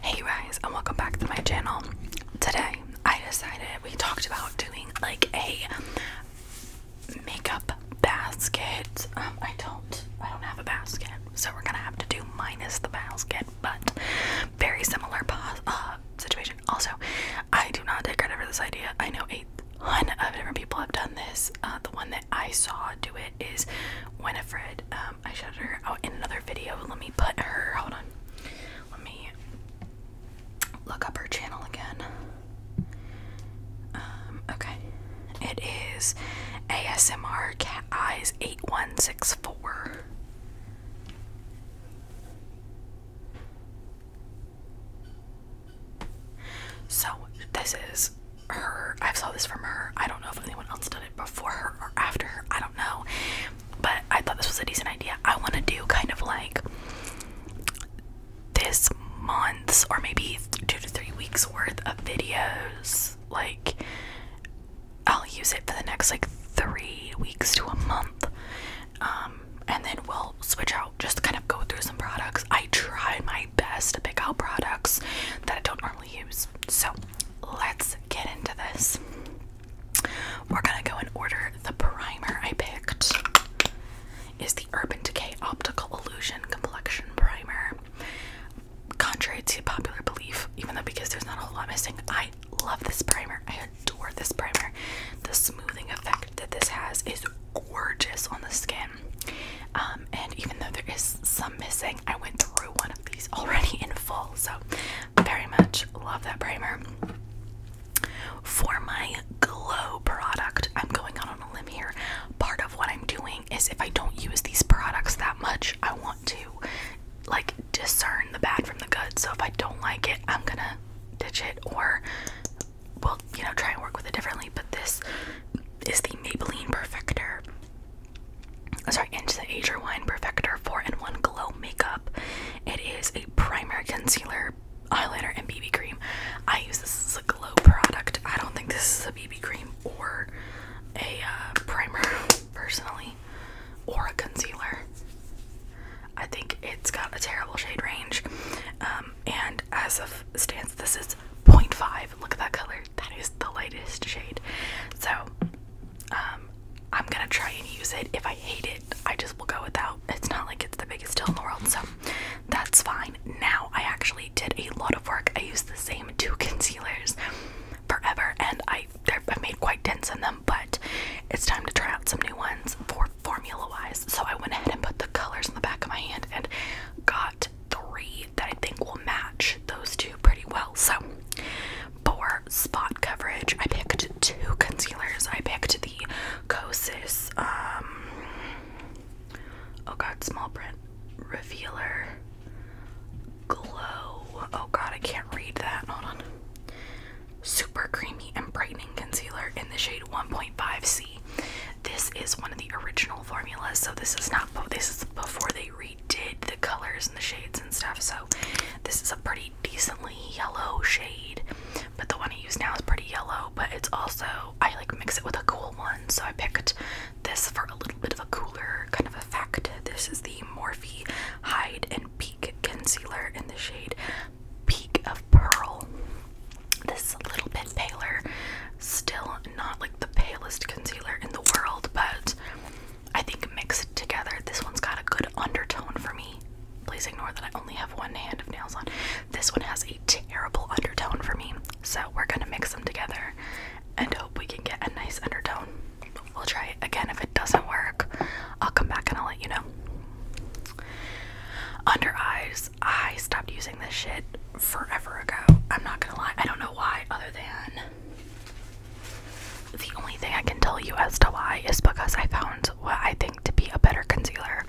Hey guys and welcome back to my channel. Today I decided we talked about doing like a makeup basket. Um, I don't I don't have a basket so we're gonna have to do minus the basket but very similar uh, situation. Also I do not take credit for this idea. I know a ton of different people have done this. Uh, the one that I saw do it is Winifred. Um, um, I shouted her out oh, in another video. Let me put her. Hold on. Let me look up her channel again. Um, okay, it is ASMR Cat Eyes eight one six four. So this is her. i saw this from her. I don't know if anyone else did before her or after her. I don't know. But I thought this was a decent idea. I want to do kind of like this month's or maybe two to three weeks worth of videos. Like, I'll use it for the next like three weeks to a month. Um, and then we'll switch out, just kind of go through some products. I try my best to pick out products that I don't normally use. So let's get into this. We're gonna go and order the primer I picked. Is the Urban Decay Optical Illusion Complexion Primer. Contrary to popular belief, even though because there's not a whole lot missing, I love this primer. I adore this primer. The smoothing effect that this has is gorgeous on the skin. Um, and even though there is some missing, I went through one of these already in full, so very much love that primer. For my glow product, I'm going out on a limb here. Part of what I'm doing is if I don't use these products that much, I want to like discern the bad from the good. So if I don't like it, I'm gonna ditch it or we'll, you know, try and work with it differently. But this is the Maybelline Perfector sorry, into the Age Rewind Perfector 4-in-1 Glow Makeup. It is a primer, concealer, eyeliner, and BB cream. I use this as a glow product. I don't think this is a BB cream or a uh, primer, personally, or a concealer. I think it's got a terrible shade range. Um, and as of stance, this is 0.5. Look at that color. That is the lightest shade. So, um, I'm gonna try and use it. If I hate it, I just will go without. It's not like it's the biggest deal in the world, so that's fine. Now, I actually did a lot of work. I used the same two concealers forever, and I I made quite dents on them, but it's time to try out some new ones for formula-wise. So I went ahead and put the colors in the back of my hand and got three that I think will match those two pretty well. So for spot coverage, I picked two concealers. I picked the Kosas, um, oh god, small print revealer glow. Oh god, I can't read that. Hold on. Super creamy and brightening concealer in the shade 1.5C. This is one of the original formulas, so this is not. This is before they re did the colors and the shades and stuff, so this is a pretty decently yellow shade. But the one I use now is pretty yellow, but it's also, I like mix it with a cool one, so I picked this for a little bit of a cooler kind of effect. This is the Morphe Hide and Peak Concealer in the shade Peak of Pearl. This is a little bit paler, still not like the palest concealer in the world, but I think mixed together. This one's got a good undertone for me. Please ignore that I only have one hand of nails on. This one has a terrible undertone for me. So we're gonna mix them together and hope we can get a nice undertone. We'll try it again. If it doesn't work, I'll come back and I'll let you know. Under eyes, I stopped using this shit forever ago. I'm not gonna lie. I don't know why, other than the only thing I can tell you as to why is because I found what I think to be a better concealer.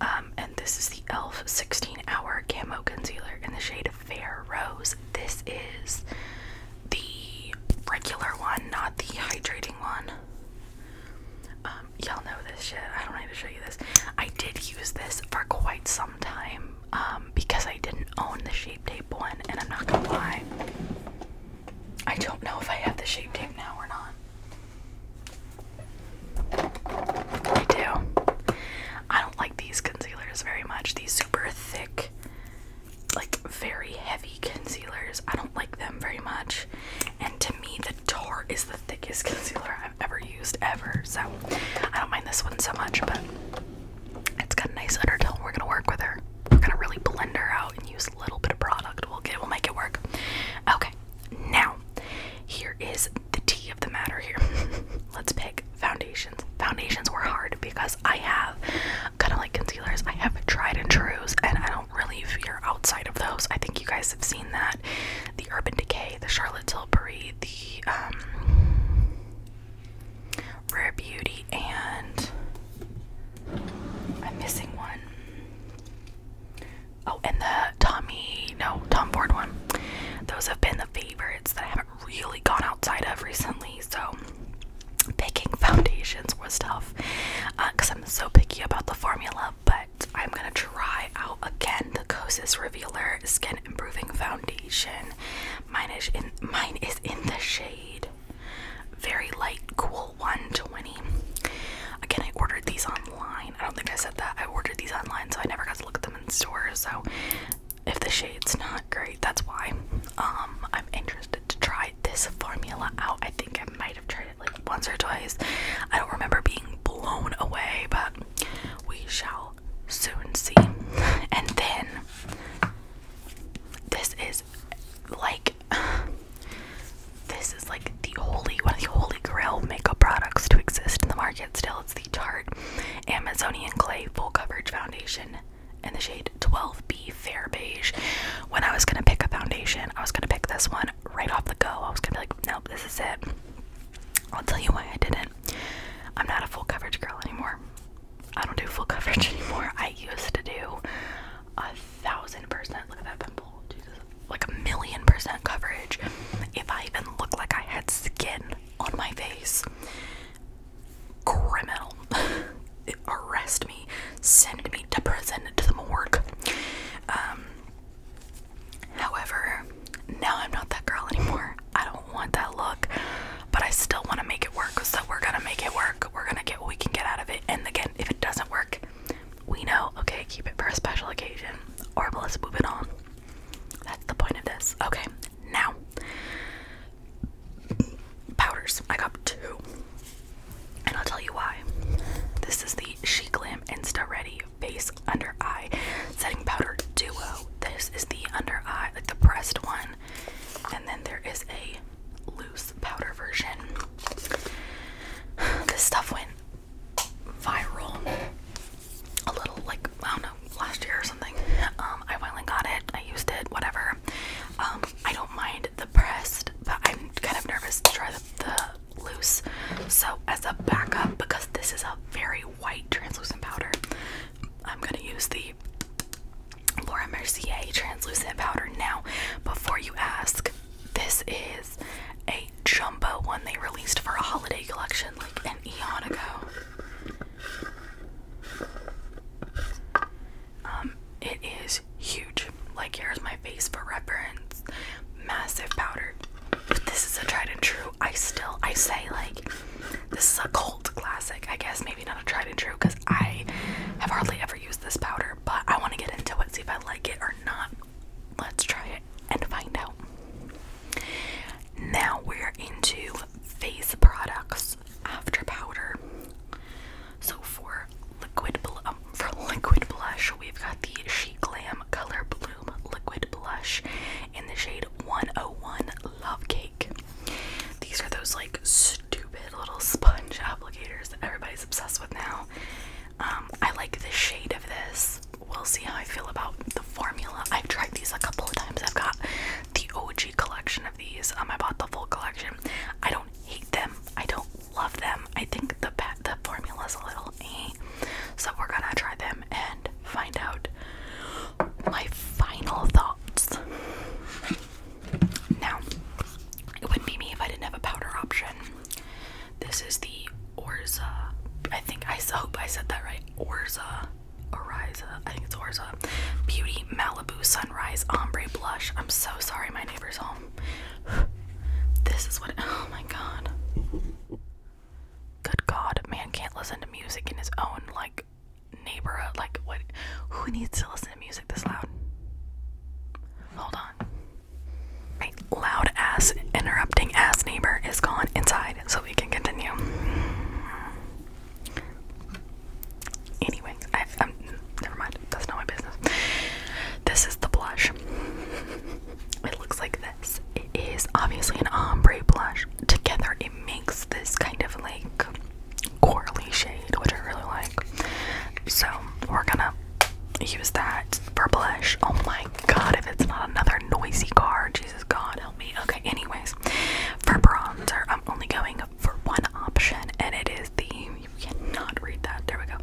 Um, and this is the e.l.f. 16 Hour Camo Concealer in the shade Fair Rose. This is the regular one, not the hydrating one. Um, y'all know this shit. I don't need to show you this. I did use this for quite some time um, because I didn't own the shape tape one, and I'm not gonna lie. I don't know if I have the shape tape now or not. I do. I don't like these concealers very much. These super thick, like very heavy concealers. I don't like them very much. And to me, the Tarte is the thickest concealer I've ever used, ever. So I don't mind this one so much, but it's got a nice undertone. We're gonna work with her we're gonna really blend her out and use a little bit of product. We'll get we'll make it work. Okay, now here is the T of the matter here. Let's pick foundations. Foundations were hard because I have kind of like concealers. I have tried and trues, and I don't really veer outside of those. I think you guys have seen that. The Urban Decay, the Charlotte Tilbury, the um, Rare Beauty, and I'm missing one. Oh, and the Tommy, no, Tom Ford one. Those have been the favorites that I haven't really gone outside of recently, so picking foundations was tough because uh, I'm so picky about the formula, but I'm gonna try out again the Kosas Revealer Skin Improving Foundation Mine is in mine is in the shade. Very light, cool 120. Again, I ordered these online. I don't think I said that. I ordered these online, so I never got to look at them in store. So if the shade's not great, that's why. Um, I'm interested to try this formula out. I think I might have tried it like once or twice. I don't remember being blown away, but we shall soon see. And then this is like this is like the holy one of the holy grail makeup products to exist in the market still. It's the Tarte Amazonian Clay Full Coverage Foundation in the shade 12B Fair Beige. When I was gonna pick a foundation, I was gonna pick this one right off the go. I was gonna be like, nope, this is it. I'll tell you why I didn't. I'm not a full coverage girl anymore. I don't do full coverage anymore. I used to do a thousand percent. Look at that pimple. Like a million percent coverage. If I even looked like I had skin on my face, criminal. Arrest me. Send me to prison to the morgue. Um, however, now I'm not that girl anymore. I don't want that look, but I still want to make it work. So we're gonna make it work. We're gonna get what we can get out of it. And again, if it doesn't work, we know. Okay, keep it for a special occasion, or let's move it on. That's the point of this. Okay, now powders. I got two, and I'll tell you why. This is the She Glam Insta Ready Face Under Eye Setting Powder Duo. This is the under eye, like the pressed one, and then there is a loose powder version. This stuff went viral a little like I don't know last year or something. Um, I finally got it. I used it. Whatever. Um, I don't mind the pressed, but I'm kind of nervous to try the loose. So as a backup, because this is a very white translucent powder, I'm gonna use the Laura Mercier translucent powder. Now, before you ask, this is a jumbo one they released for a holiday collection like an eon ago. Um, it is huge. Like here's my face for reference. Massive powder. But this is a tried and true. I still I say like this is a cult classic. I guess maybe not a tried and true because I have hardly ever used this powder, but I want to get into it, see if I like it or not. Let's try it and find out. Now we're into face products after powder. So for liquid um, for liquid blush, we've got the She Glam Color Bloom liquid blush in the shade 101 Love Cake these are those like stupid little sponge applicators that everybody's obsessed with now. Um, I like the shade of this. We'll see how I feel about the formula. I've tried these a couple of times. I've got the OG collection of these. Um, I bought the full collection. I don't hate them. I don't love them. I think the the is a little eh. So we're gonna try them and find out my final thoughts. Now, it wouldn't be me if I didn't have a powder option. This is the Orza. I think I hope I said that right. Orza. Oriza. I think it's Orza. Beauty Malibu Sunrise Ombre Blush. I'm so sorry, my neighbor's home. This is what. Oh my god. Good god, man can't listen to music in his own, like, neighborhood like what who needs to listen to music this loud? Hold on. Right, loud ass interrupting ass neighbor is gone inside so we can continue. Anyways, I I'm never mind, that's not my business. This is the blush. it looks like this. It is obviously an ombre blush. Together it makes this kind of like corally shade, which I really like. So we're gonna use that for blush. Oh my god, if it's not another noisy car, Jesus God help me. Okay, anyways, for bronzer, I'm only going for one option, and it is the you cannot read that. There we go.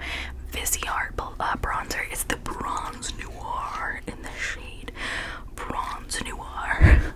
Viseart uh, bronzer. It's the bronze noir in the shade bronze noir.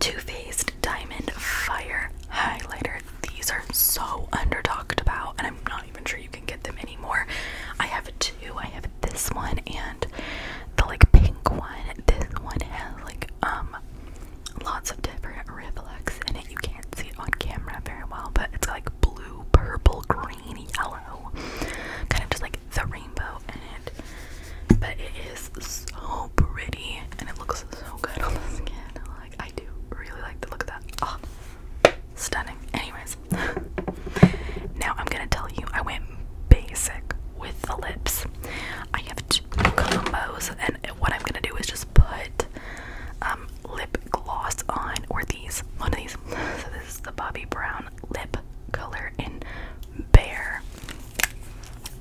Too Faced Diamond Fire Highlighter. These are so under talked about, and I'm not even sure you can get them anymore. I have two. I have this one and the like pink one. This one has like um lots of different reflex in it. You can't see it on camera very well, but it's like blue, purple, green, yellow. Kind of just like the rainbow in it. But it is so pretty and it looks so good on the skin like. I do really like the look of that. Oh, stunning. Anyways, now I'm gonna tell you I went basic with the lips. I have two combos, and what I'm gonna do is just put um, lip gloss on, or these one of these. So this is the Bobbi Brown lip color in Bear.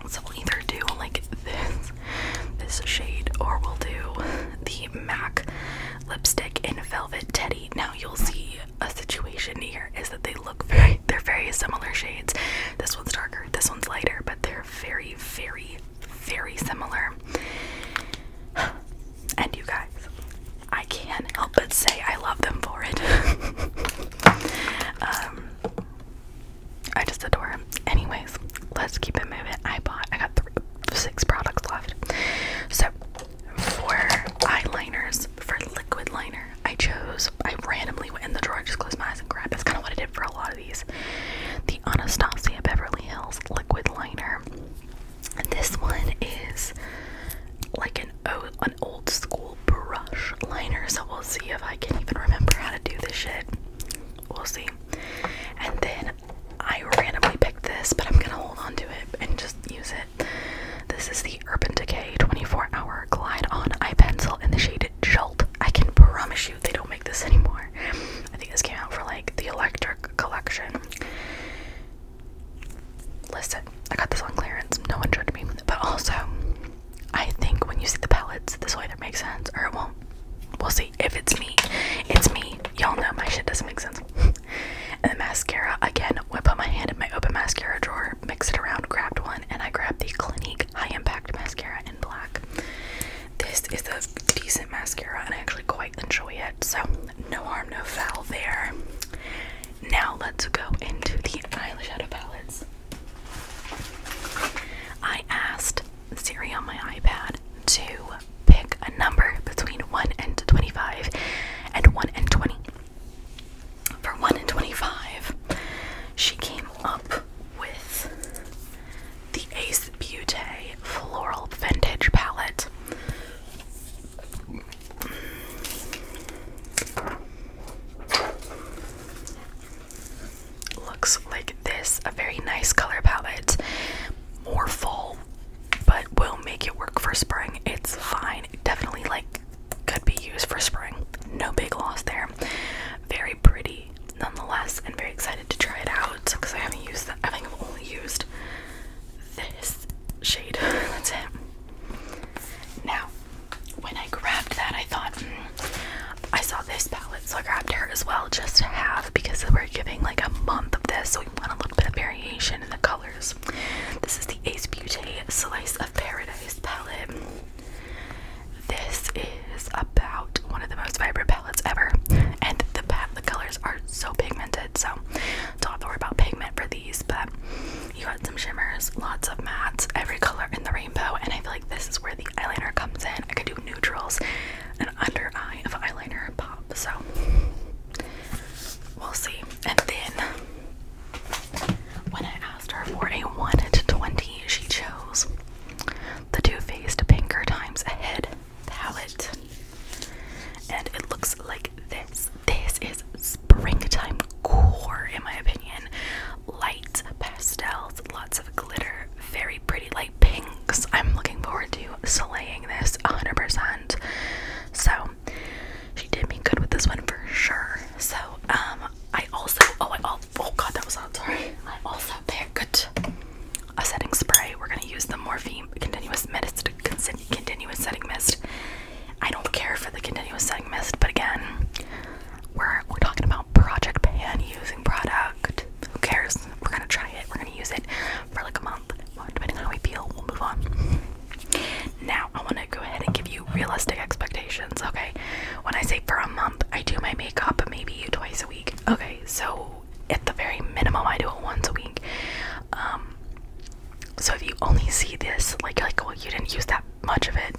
So we'll either do like this, this shade, or we'll do the MAC lipstick in Velvet Teddy. Now you'll see a situation here is that they look very, they're very similar shades. This one's darker, this one's lighter, but they're very, very, very similar. And you guys, I can't help but say I love them for it. um, I just adore him. Anyways, let's keep it moving. I bought, I got six products left. So, for eyeliners, for liquid liner, I chose, I randomly went in the drawer, just closed my eyes and grabbed. That's kind of what I did for a lot of these. The Anastasia Beverly Hills liquid liner. And this one is like an an old school brush liner. So we'll see if I can even remember how to do this shit we'll see. And then I randomly picked this, but I'm gonna hold on to it and just use it. This is the Urban Decay 24 Hour Glide On Eye Pencil in the shade Jolt. I can promise you they don't make this anymore. I think this came out for like the Electric Collection. Listen, I got this on clearance. No one judged me. But also, I think when you see the palettes, this will either make sense or it won't. We'll see. If it's me, it's me. Y'all know my shit doesn't make sense. and the mascara, again, I put my hand in my open mascara drawer, mix it around, grabbed one, and I grabbed the Clinique High Impact Mascara in black. This is a decent mascara, and I actually quite enjoy it, so no harm, no foul there. Now let's go into the eyeshadow palettes. I asked Siri on my iPad to pick a number between 1 and 25 and 1 and 20. For 1 and 25, she came up with the Ace Beauté Floral Vintage Palette looks like this a very nice color palette, more full, but will make it work for spring. It's fine, definitely like could be used for spring. No big loss there. Very pretty nonetheless, and very excited to try it out because I haven't used that. I think I've only used this shade. That's it. Now, when I grabbed that, I thought, hmm, I saw this palette, so I grabbed her as well just to have because we're giving like a month of this, so we want a little bit of variation in the colors. This is the Ace Beauty Slice of Paradise palette. This is about one of the most vibrant palettes ever, and the the colors are so pigmented, so don't have worry about pigment for these. But you got some shimmers, lots of mattes, every color in the rainbow, and I feel like this is where the eyeliner comes in. I could do neutrals and under eye of eyeliner pop. So we'll see. And then when I asked her for a 1 to 20, she chose the Too Faced Pinker Times Ahead palette. And it looks like this. This is springtime core, in my opinion light pastels, lots of glitter, very pretty light pinks. I'm looking forward to slaying this 100%. So, she did me good with this one for sure. So, um, I also, oh, I, oh, oh god, that was on. sorry. I also picked a setting spray. We're gonna use the Morphe Continuous Mist, Continuous Setting Mist. I don't care for the Continuous Setting Mist, but again, we're we're talking about Project Pan using product. Who cares? We're gonna try it. We're gonna use it for like a month. depending on how we feel, we'll move on. Now I wanna go ahead and give you realistic expectations, okay? When I say for a month, I do my makeup maybe twice a week. Okay, so at the very minimum I do it once a week. Um so if you only see this, like like well you didn't use that much of it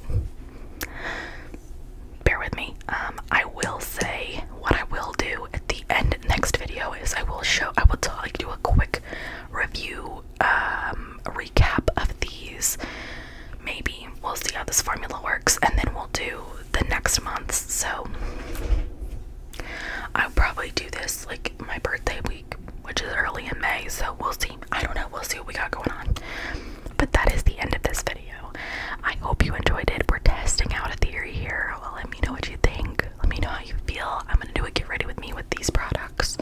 bear with me. Um, I will say what I will do at the end next video is I will show I will tell, like do a quick review um recap of these. Maybe we'll see how this formula works and then we'll do the next month's. So I'll probably do this like my birthday week, which is early in May, so we'll see. I don't know, we'll see what we got going on. But that is the end of this video. I hope you enjoyed it. We're testing out a theory here. Well, let me know what you think. Let me know how you feel. I'm gonna do a get ready with me with these products.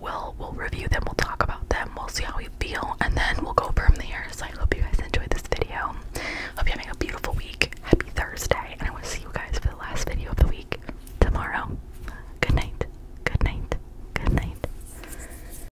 We'll we'll review them. We'll talk about them. We'll see how we feel, and then we'll go from there. So I hope you guys enjoyed this video. Hope you're having a beautiful week. Happy Thursday, and I want to see you guys for the last video of the week tomorrow. Good night. Good night. Good night.